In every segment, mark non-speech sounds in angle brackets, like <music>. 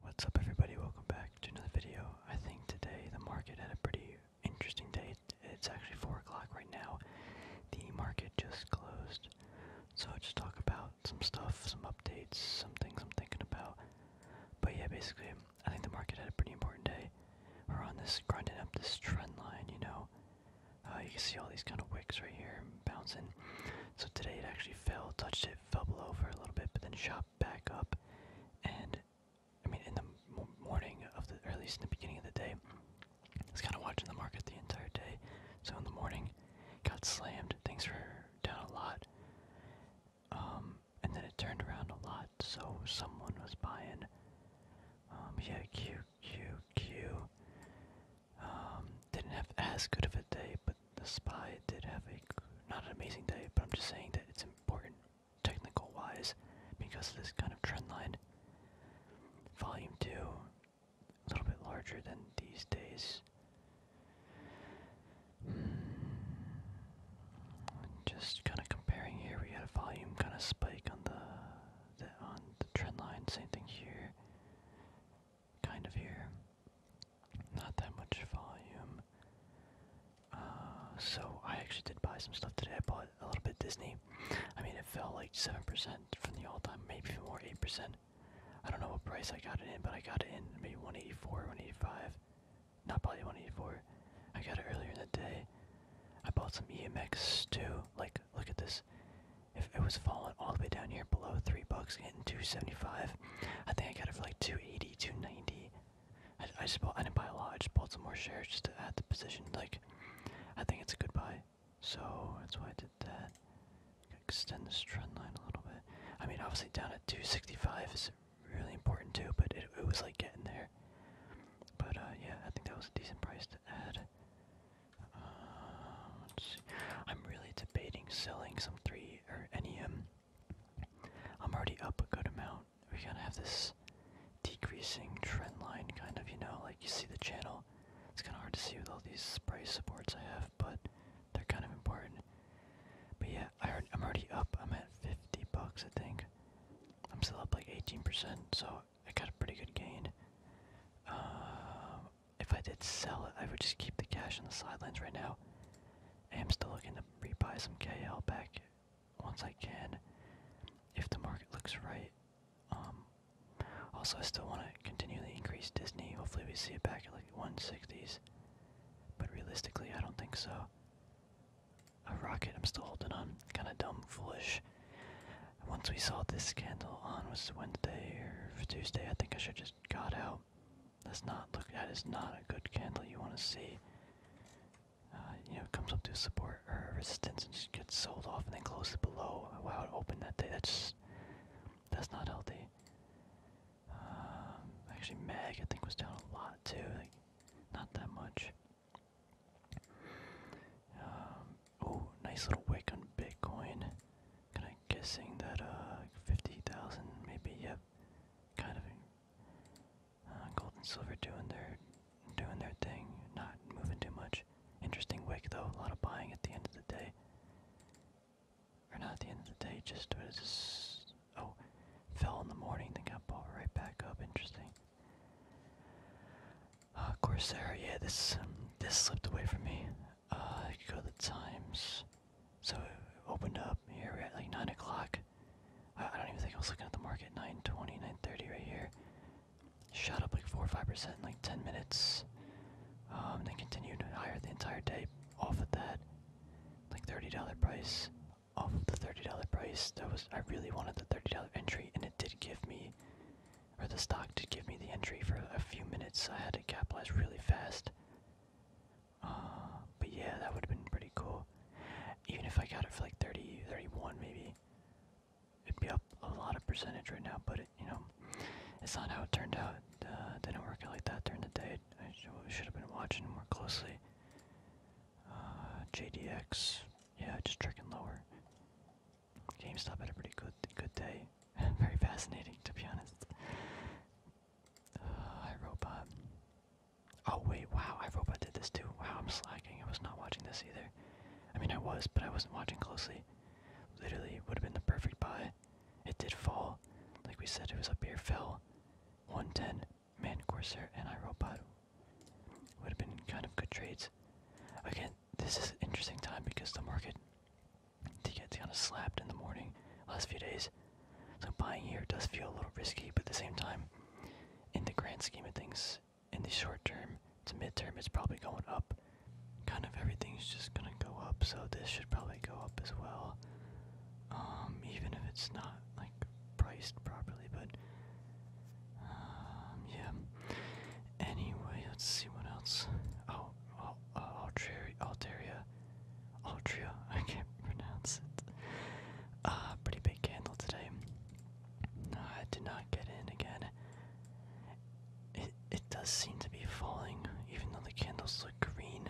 What's up everybody, welcome back to another video. I think today the market had a pretty interesting day. It's actually 4 o'clock right now. The market just closed. So I'll just talk about some stuff, some updates, some things I'm thinking about. But yeah, basically, I think the market had a pretty important day. We're on this, grinding up this trend line, you know. Uh, you can see all these kind of wicks right here bouncing. So today it actually fell, touched it, fell below for a little bit, but then shot back up, and I mean, in the morning of the, or in the beginning of the day, was kind of watching the market the entire day. So in the morning, got slammed. Things were down a lot, um, and then it turned around a lot. So someone was buying. Um, yeah, Q, Q, Q. Um, didn't have as good of a day, the spy did have a not an amazing day, but I'm just saying that it's important technical wise because this kind of trend line. Volume two, a little bit larger than these days. Just kind of comparing here, we had a volume kind of spike on the, the on the trend line. Same thing here kind of here. Not that much volume. Uh, so I actually did buy some stuff today. I bought a little bit Disney. I mean, it fell like seven percent from the all-time, maybe even more, eight percent. I don't know what price I got it in, but I got it in maybe 184, 185. Not probably 184. I got it earlier in the day. I bought some EMX too. Like, look at this. If it was falling all the way down here below three bucks, getting 275. I think I got it for like 280, 290. I, just bought, I didn't buy a lot. I just bought some more shares just to add the position. Like, I think it's a good buy. So that's why I did that. Extend this trend line a little bit. I mean, obviously down at 265 is really important too, but it, was like getting there. But uh, yeah, I think that was a decent price to add. Uh, let's see. I'm really debating selling some three or NEM. I'm already up a good amount. We gotta have this decreasing trend line, kind of, you know, like you see the channel. It's kind of hard to see with all these price supports I have, but they're kind of important. But yeah, I heard, I'm already up. I'm at 50 bucks, I think. I'm still up like 18%, so I got a pretty good gain. Uh, if I did sell it, I would just keep the cash in the sidelines right now. I am still looking to rebuy some KL back once I can, if the market looks right. Um, also, I still want to continually increase Disney. Hopefully, we see it back at like 160s, but realistically, I don't think so. A rocket, I'm still holding on. Kind of dumb, foolish. Once we saw this candle on was Wednesday or Tuesday, I think I should just got out. That's not look. That is not a good candle you want to see. Uh, you know, it comes up to support or resistance and just gets sold off and then closes below. Wow, it opened that day. That's just, that's not healthy. Um, actually, Mag I think was down a lot too. not that much. oh, nice little wick on Bitcoin. Can I guessing that uh, 50,000 maybe, yep, kind of. Uh, gold and silver doing their, doing their thing, not moving too much. Interesting week though, a lot of buying at the end of the day. Or not at the end of the day, just, just oh, fell in the morning, then got bought right back up, interesting. Uh, Corsair, yeah, this um, this slipped away from me. Uh, I go to the times. So it opened up here. at like nine o'clock. I, don't even think I was looking at the market. 9:20, 9:30 right here. Shot up like four or five percent in like 10 minutes. Um, then continued to higher the entire day. Off of that, like $30 price. Off of the $30 price. That was I really wanted the $30 entry, and it did give me, or the stock did give me the entry for a few minutes. I had to capitalize really fast. Uh, but yeah, that would have been pretty cool. Even if I got it for like 30, 31 maybe, it'd be up a lot of percentage right now, but you know, it's not how it turned out. Uh, didn't work out like that during the day. I should have been watching more closely. Uh, JDX, yeah, just tricking lower. GameStop had a pretty good, good day. <laughs> Very fascinating, to be honest. Uh, <sighs> Oh wait, wow, iRobot did this too. Wow, I'm slacking. I was not watching this either. I mean, I was, but I wasn't watching closely. Literally, would have been the perfect buy. It did fall. Like we said, it was up here, fell. 110, Man Corsair, and iRobot. Would have been kind of good trades. Again, this is interesting time because the market to get kind of slapped in the morning last few days. So buying here does feel a little risky, but at the same time, in the grand scheme of things, in the short term to midterm, it's probably going up. Kind of everything's just gonna go up, so this should probably go up as well. Um, even if it's not like priced properly, but um, yeah. Anyway, let's see what else. Oh, oh, Altria, <laughs> I can't pronounce it. Uh, pretty big candle today. No, I did not get in again. It it does seem to be falling, even though the candles look green.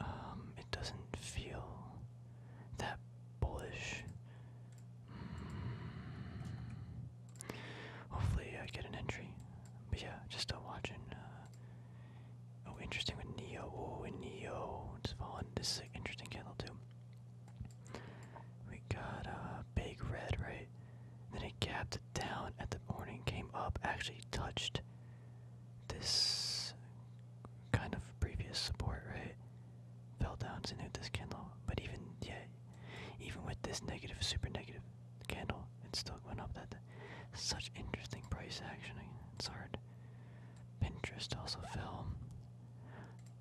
Um, it doesn't feel that bullish. Mm. Hopefully, I get an entry. But yeah, just still watching. Uh, Oh, interesting with Neo. Oh, and Neo. It's fallen. This is interesting candle, too. We got a uh, big red, right? Then it capped it down at the morning, came up, actually touched this kind of previous support, right? Fell down to new this candle. But even, yeah, even with this negative, super negative, candle. it's still going up that Such interesting price action. It's hard. Pinterest also fell.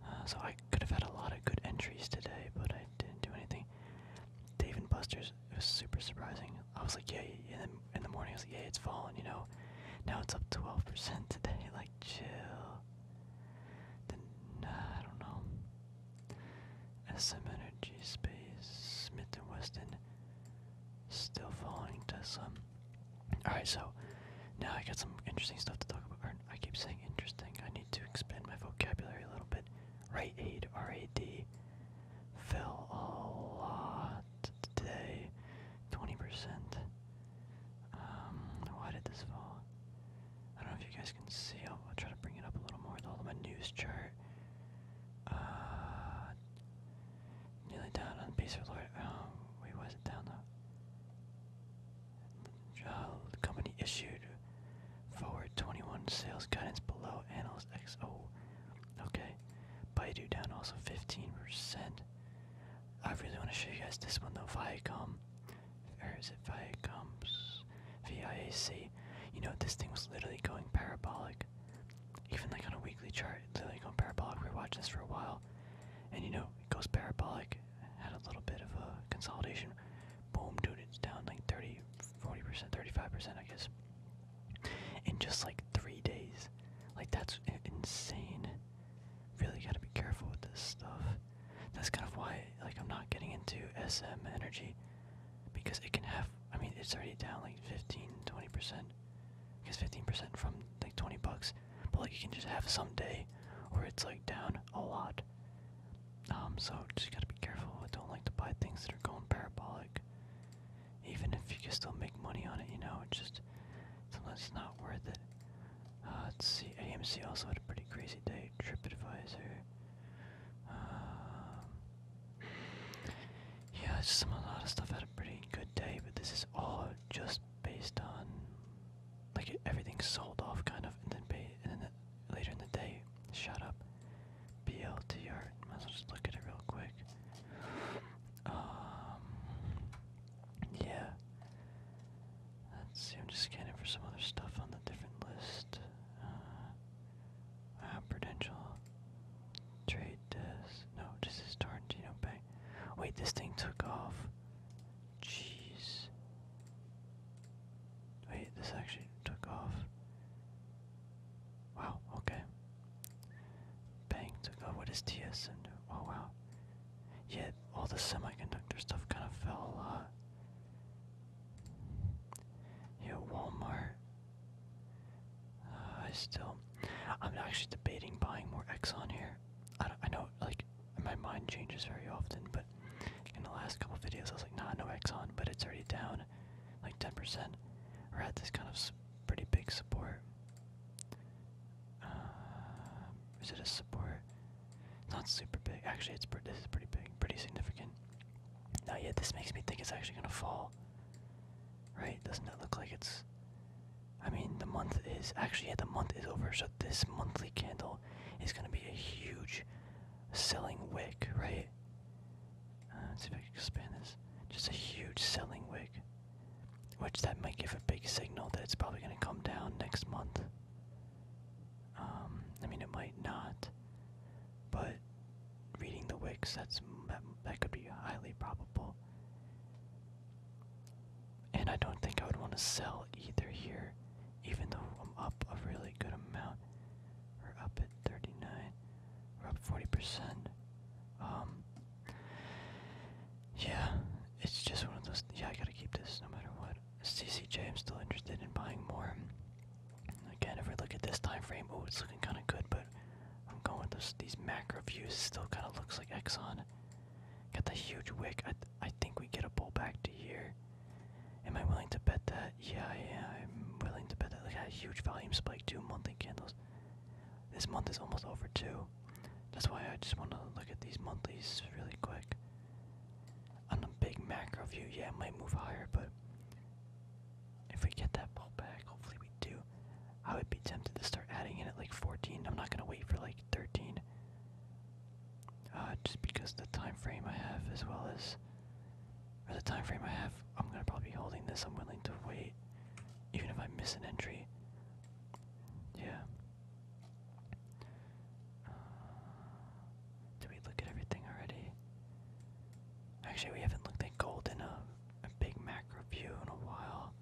Uh, so I could have had a lot of good entries today, but I didn't do anything. Dave and Buster's it was super surprising. I was like, yeah, yeah. And then in the morning I was like, yeah, it's falling. You know, now it's up 12% <laughs> today. Like, chill. Then uh, I don't know. SM Energy Space Smith and Weston. Still falling to some. Alright, so now I got some interesting stuff to talk about. I keep saying interesting. I need to expand my vocabulary a little bit. Right aid, R A D. Fell a lot today. 20%. Um, why did this fall? I don't know if you guys can see. I'll, try to bring it up a little more with all of my news chart. Uh, God. Kneeling down on the peace of the Lord. Oh, um, wait, was not down though? the company issued forward 21 sales guidance below analyst XO. Oh, okay. Baidu down also 15%. I really want to show you guys this one though. Viacom. Or is it Viacom's? VIAC. You know, this thing was literally going parabolic even like on a weekly chart, they're like parabolic. We were watching this for a while, and you know it goes parabolic. Had a little bit of a consolidation. Boom, dude, it's down like 30, 40 percent, 35 percent, I guess. In just like three days, like that's insane. Really gotta be careful with this stuff. That's kind of why, like, I'm not getting into SM energy because it can have I mean it's already down like 15 20 percent because 15 percent from like 20 bucks but like you can just have some day where it's like down a lot um so just gotta be careful I don't like to buy things that are going parabolic even if you can still make money on it you know it's just sometimes it's not worth it uh, let's see AMC also had a pretty crazy day TripAdvisor um, yeah, it's just some a lot of stuff had a pretty good day, but this is all just based on like everything sold off kind of, and then later in the day shut up. BLTR. Might as well just look at it real quick. Um, yeah. Let's see. I'm just scanning for some other stuff on the different list. Uh, uh, Prudential. Trade this. No, this is Tarantino Bank. Wait, this thing took off. Jeez. Wait, this actually took off. Wow, okay. Bank took off. What is TS? And oh, wow. Yet all the semiconductor stuff kind of fell a lot. Yeah, Walmart. Uh, I still, I'm actually debating buying more Exxon here. I, know, like, my mind changes very often, but in the last couple videos, I was like, nah, no Exxon, but it's already down like 10%. We're at this kind of pretty big support. Uh, is it a support? not super big. Actually, it's this is pretty big, pretty significant. Not yet. this makes me think it's actually gonna fall Right? Doesn't that look like it's. I mean, the month is. Actually, the month is over, so this monthly candle is going to be a huge selling wick, right? Uh, let's see if I can expand this. Just a huge selling wick. Which that might give a big signal that it's probably going to come down next month. Um, I mean, it might not but reading the wicks, that's that, that could be highly probable. And I don't think I would want to sell either here, even though I'm up a really good amount. We're up at 39. We're up 40%. Um, yeah, it's just one of those. Yeah, I gotta keep this no matter what. CCJ, I'm still interested in buying more. Again, if we look at this time frame, oh, it's looking kind of good, but I'm going with this, these macro views. still kind of looks like Exxon. Got the huge wick. I, I think we get a pullback to here. Am I willing to bet that? Yeah, yeah, I'm willing to bet that. Look at a huge volume spike, two monthly candles. This month is almost over, too. That's why I just want to look at these monthlies really quick. On the big macro view, yeah, it might move higher, but if we get that ball hopefully we do. I would be tempted to start adding in at like 14. I'm not gonna wait for like 13. Uh, just because the time frame I have, as well as, or the time frame I have, I'm gonna probably be holding this. I'm willing to wait, even if I miss an entry. Yeah. Uh, did we look at everything already? Actually, we haven't looked at gold enough a Big Mac review in a while.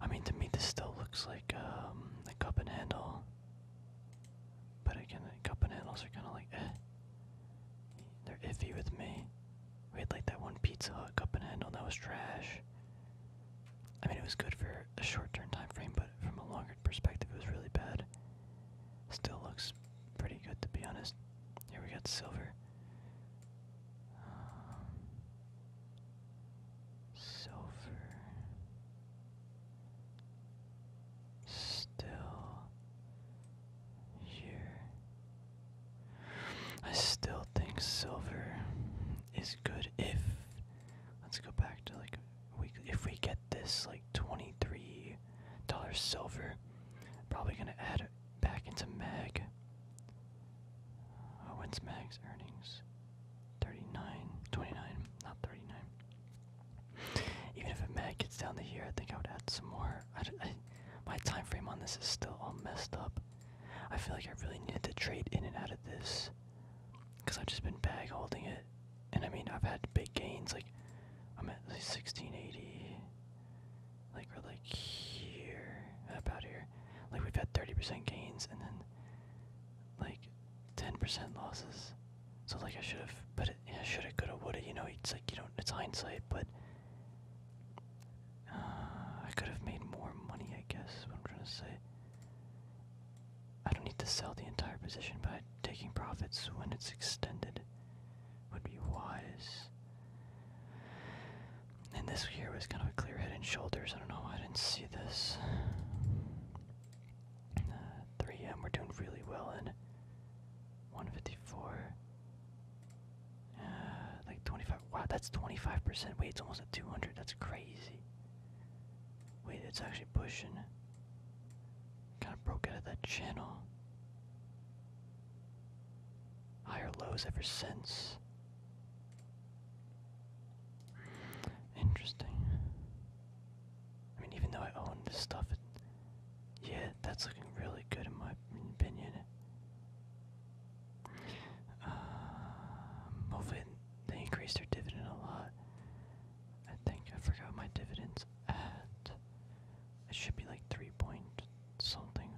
I mean, to me, this still looks like um, a cup and handle. But again, the cup and handles are kind of like, eh. They're iffy with me. We had like that one Pizza Hut cup and handle that was trash. I mean, it was good for a short-term time frame, but from a longer perspective, it was really bad. Still looks pretty good, to be honest. Here we got silver silver, still here. I still think silver is good if let's go back to like we if we get this like twenty three dollar silver, probably gonna add it. Back into Meg. Oh, what's Meg's earnings? 39, 29, not 39. Even if a Meg gets down to here, I think I would add some more. I, my time frame on this is still all messed up. I feel like I really needed to trade in and out of this. Because I've just been bag holding it. And I mean, I've had big gains. Like, I'm at 1680 like we're like here, about here. Like we've had 30% gains and then like 10% losses. So like I should have, but it, I should have, could have, would have. You know, it's like you don't. It's hindsight, but uh, I could have made more money. I guess is what I'm trying to say. I don't need to sell the entire position by taking profits when it's extended would be wise. And this here was kind of a clear head and shoulders. I don't know I didn't see this. 3M, uh, we're doing really well in 154. Uh, like 25. Wow, that's 25%. Wait, it's almost at 200. That's crazy. Wait, it's actually pushing. Kind of broke out of that channel. Higher lows ever since. Interesting. I mean, even though I own this stuff, yeah, that's looking really good in my opinion. Um, they increase their dividend a lot. I think I forgot my dividends at. It should be like 3 point something.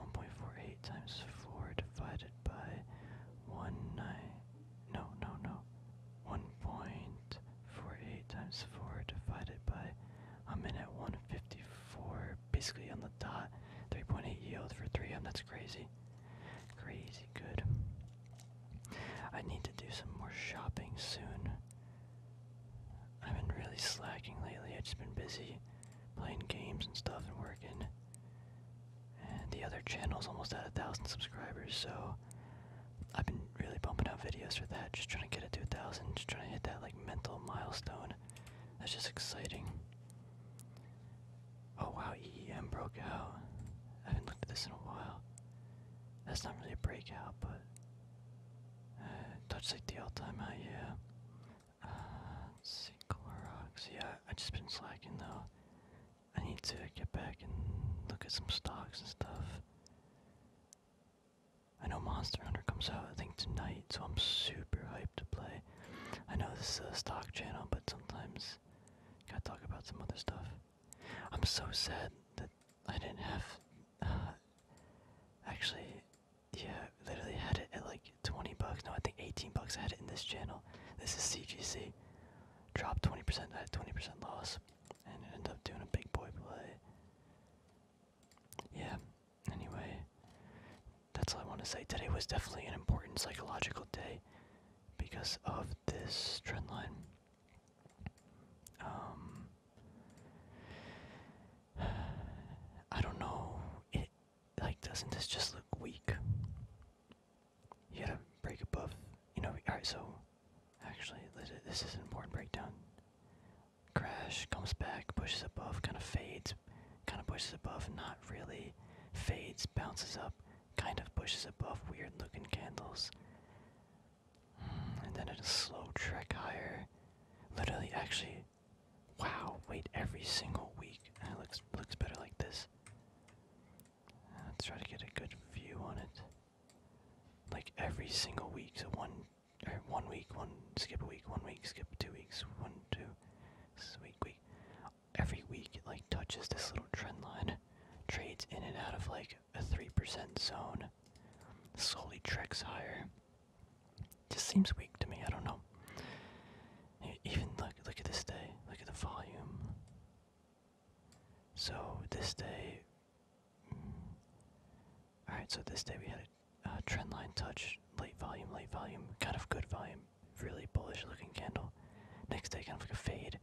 1.48 times 4 divided by 1 9. No, no, no. 1.48 times 4 divided by. I'm in at 154, basically on the dot. 3.8 yield for 3M. That's crazy. Crazy good. I need to do some more shopping soon. I've been really slacking lately. I've just been busy playing games and stuff and working. And the other channel's almost at a thousand subscribers, so I've been really bumping out videos for that, just trying to get it to a thousand, just trying to hit that like mental milestone. That's just exciting. Oh wow, EEM broke out. I haven't looked at this in a while. That's not really a breakout, but uh, touch like the all time high, yeah. Uh, Yeah, I just been slacking though. I need to get back and look at some stocks and stuff. I know Monster Hunter comes out, I think, tonight, so I'm super hyped to play. I know this is a stock channel, but sometimes gotta talk about some other stuff. I'm so sad that I didn't have. Uh, actually, yeah, literally had it at like 20 bucks. No, I think 18 bucks. I had it in this channel. This is CGC. Dropped 20%. I had 20% loss, and ended up doing a big boy play. Yeah. Anyway, that's all I want to say. Today was definitely an important psychological day because of this trend line. Um, <sighs> I don't know. It like doesn't this just look weak? You gotta break above. You know. All right. So actually, this is an important breakdown. Crash comes back, pushes above, kind of fades, kind of pushes above, not really. Fades, bounces up, kind of pushes above. Weird looking candles. And then a slow trek higher. Literally, actually, wow, wait, every single week. It looks, looks better like this. Let's try to get a good view on it. Like every single week, so one, er, one week, one skip a week, one week skip two weeks, one two, this week. Every week, it like touches this little trend line, trades in and out of like a three percent zone, slowly treks higher, just seems weak to me. I don't know. Even look, look at this day. Look at the volume. So this day. Mm, all right. So this day we had a uh, trend line touch, late volume, late volume, kind of good volume, really bullish looking candle. Next day, kind of like a fade.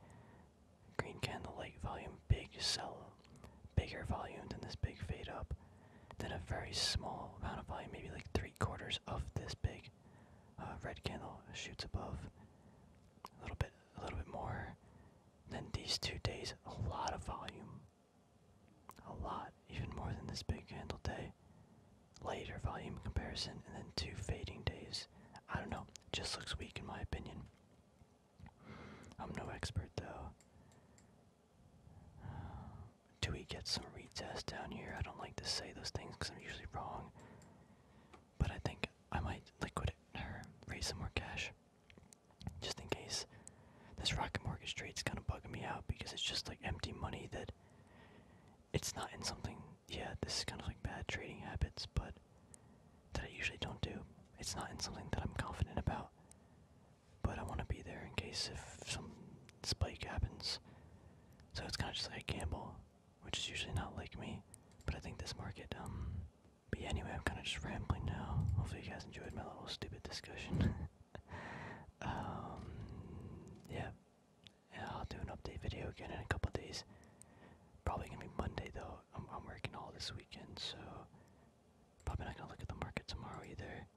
Green candle, late volume, big sell bigger volume than this big fade up, then a very small amount of volume, maybe like three quarters of this big uh, red candle shoots above. A little bit, a little bit more. Then these two days, a lot of volume. A lot, even more than this big candle day. Later volume comparison, and then two fading days. I don't know, just looks weak in my opinion. I'm no expert though. Do we get some retest down here? I don't like to say those things because I'm usually wrong. But I think I might liquidate her, raise some more cash. Just in case. This rocket mortgage trade's kind of bugging me out because it's just like empty money that it's not in something. Yeah, this is kind of like bad trading habits, but that I usually don't do. It's not in something that I'm confident about but I want to be there in case if some spike happens. So it's kind of just like a gamble, which is usually not like me. But I think this market, um. But anyway, I'm kind of just rambling now. Hopefully, you guys enjoyed my little stupid discussion. <laughs> um. Yeah. yeah. I'll do an update video again in a couple days. Probably gonna be Monday, though. I'm, I'm working all this weekend, so. Probably not gonna look at the market tomorrow either.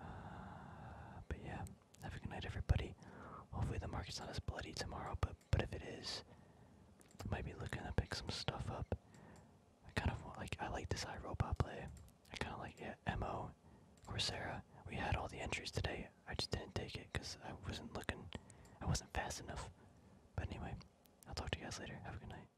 Uh, but yeah, have a good night, everybody. Hopefully the market's not as bloody tomorrow, but but if it is, I might be looking to pick some stuff up. I kind of like I like this iRobot play. I kind of like it. Mo, Coursera. We had all the entries today. I just didn't take it because I wasn't looking. I wasn't fast enough. But anyway, I'll talk to you guys later. Have a good night.